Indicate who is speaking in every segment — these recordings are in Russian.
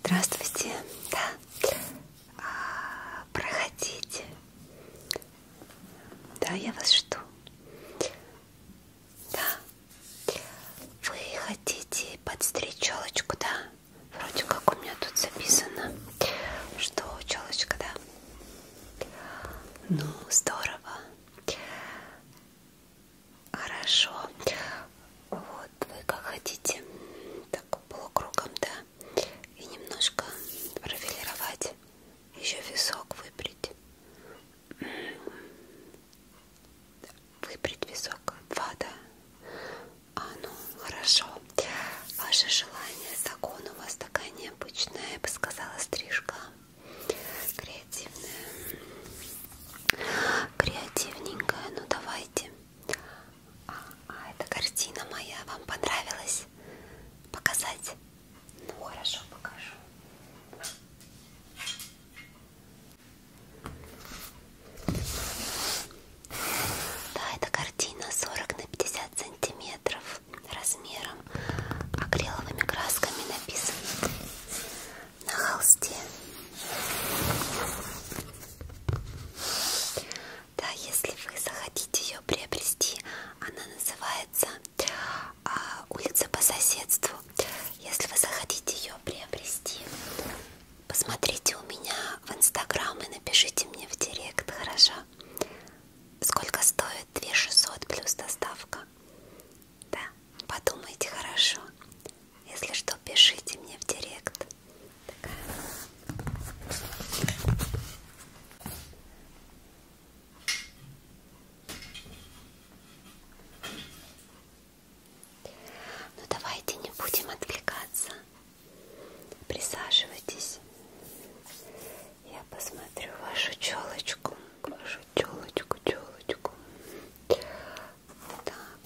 Speaker 1: Здравствуйте, да. А, проходите. Да, я вас жду. Да. Вы хотите подстричь челочку, да? Вроде как у меня тут записано, что челочка, да? Ну, здорово. Хорошо. Вот вы как хотите, так полукругом, да, и немножко профилировать, еще висок выбрить, выбрить висок, два, да. А ну хорошо. Ваше желание, закон у вас такая необычная, я бы сказала, стрижка. Скорее креативная. Креативненькая, ну давайте. А, а эта картина моя вам понравилась? Показать? Ну хорошо, покажу. Да, эта картина 40 на 50 сантиметров размером акриловыми красками написано на холсте. Да, если вы захотите ее приобрести, она называется а, улица по соседству. Если вы захотите ее приобрести, посмотрите у меня в инстаграм и напишите мне в директ, хорошо? Сколько стоит 2600 плюс доставка? Да, подумайте хорошо. Если что, пишите мне в директ. Такая. Ну давайте не будем отвлекаться. Присаживайтесь. Я посмотрю вашу челочку вашу челочку, челочку. Так,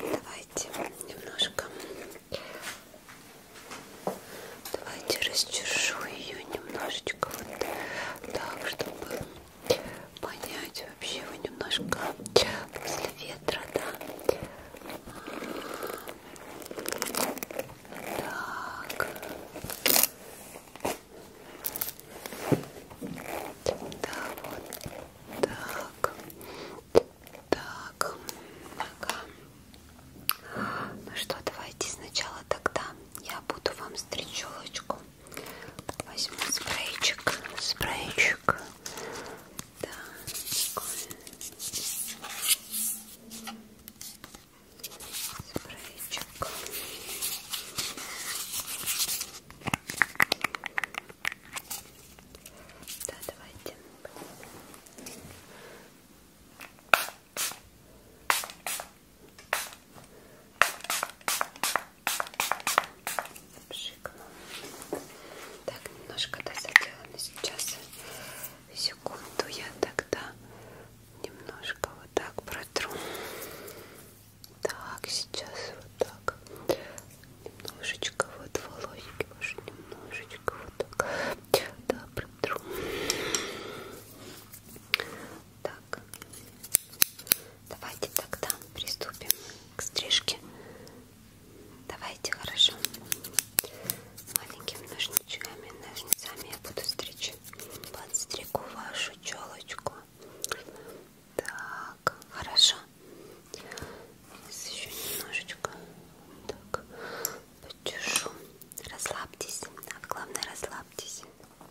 Speaker 1: давайте немножко, давайте расчешу ее немножечко вот так, чтобы понять вообще его немножко после ветра, да. Так. Да, вот так. Так. Ага. Ну что, давайте сначала тогда я буду вам встречелочку. Возьму спрейчик. Спрейчик. Да, такой спрейчик. Да, давайте. Пшикну. Так, немножко да, заделано сейчас. Секунду я тогда немножко вот так протру. Так, сейчас вот так. Немножечко вот волосики ваши, немножечко вот так. Да, протру. Так. Давайте тогда приступим к стрижке. Давайте, хорошо. Маленькими ножничками, ножницами я буду стричь подстригу вашу челочку. Так, хорошо. Сейчас еще немножечко так почешу. Расслабьтесь, а главное расслабьтесь. Так.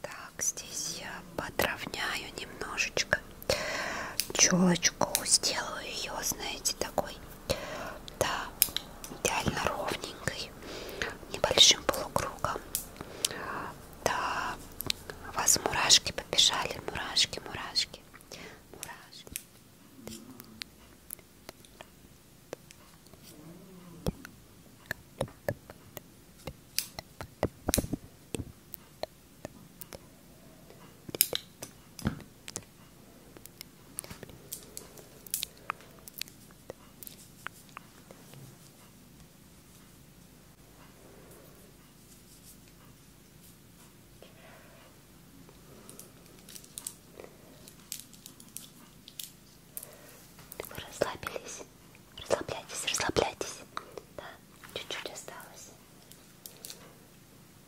Speaker 1: Так, здесь я подровняю немножечко челочку сделаю ее знаете такой да идеально ровненькой небольшим полукругом да у вас мурашки побежали мурашки мурашки мурашки вы расслабились? Расслабляйтесь, расслабляйтесь. Да, чуть-чуть осталось.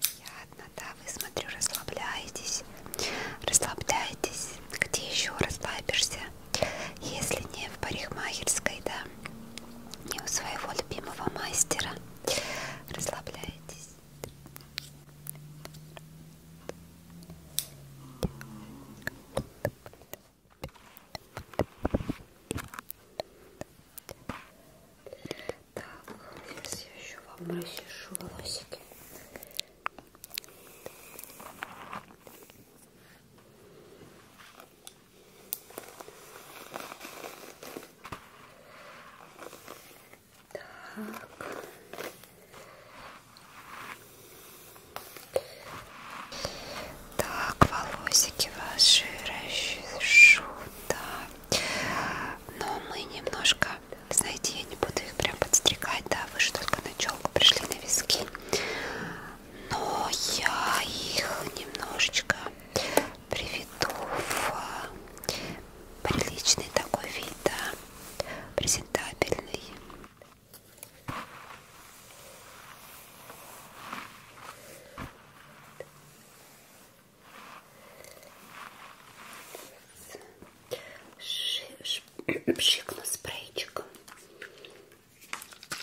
Speaker 1: Приятно, да, вы, смотрю, расслабляетесь. Расслабляетесь. Где еще расслабишься? Если не в парикмахерской, да, не у своего любимого мастера. Расслабляетесь. Так, так, сейчас я еще вам расчешу волосики. Так. так, волосики ваши расчешу, да но мы немножко, знаете, я не буду их прям подстригать, да, вы же только на челку пришли на виски, но я их немножечко приведу в приличный такой вид, да, презентабельный. Пшикну спрейчиком. Так.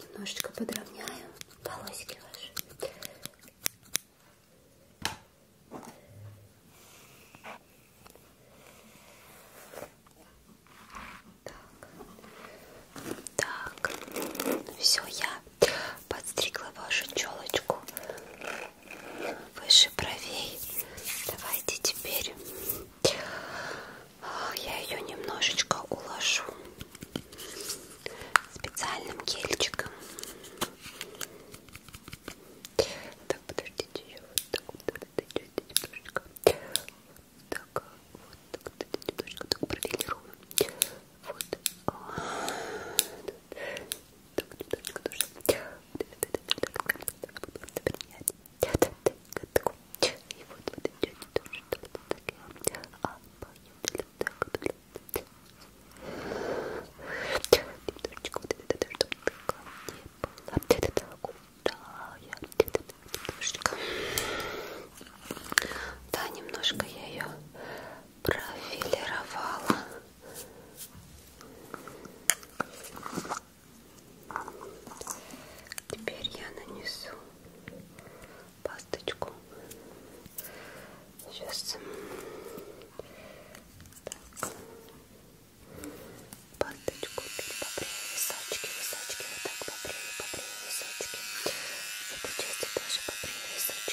Speaker 1: Немножечко подровняю волосики ваши. Так, так, все, я подстригла вашу челочку выше бровей. Давайте теперь я ее немножечко уложу специальным гельчиком. Так, подождите, я вот так вот немножечко. Вот так, вот так, немножечко так профилирую. Вот. Так, немножечко тоже. Так, и вот вот идете тоже что-то такое. А, поехали. Так, вот. Немножечко вот это тоже, чтобы такого не было. Это так удая. Это немножечко. Да, немножко я ее профилировала. Теперь я нанесу пасточку. Сейчас так. Пасточку поправлю височки, височки, вот так поправлю, поправлю височки. В этой части тоже поправлю височки,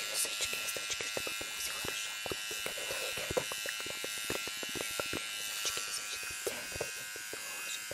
Speaker 1: височки, височки, височки, чтобы было все хорошо. Аккуратненько, вот так, вот так, вот так, поправлю, поправлю височки, височки. Вот эти тоже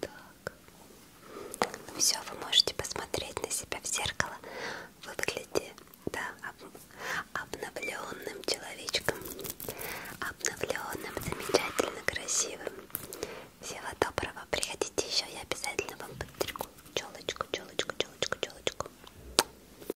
Speaker 1: Так. Ну все, вы можете посмотреть на себя в зеркало. Вы выглядите, да, об, обновленным человечком. Обновленным, замечательно красивым. Всего доброго. Приходите еще, я обязательно вам подстригу челочку, челочку, челочку, челочку.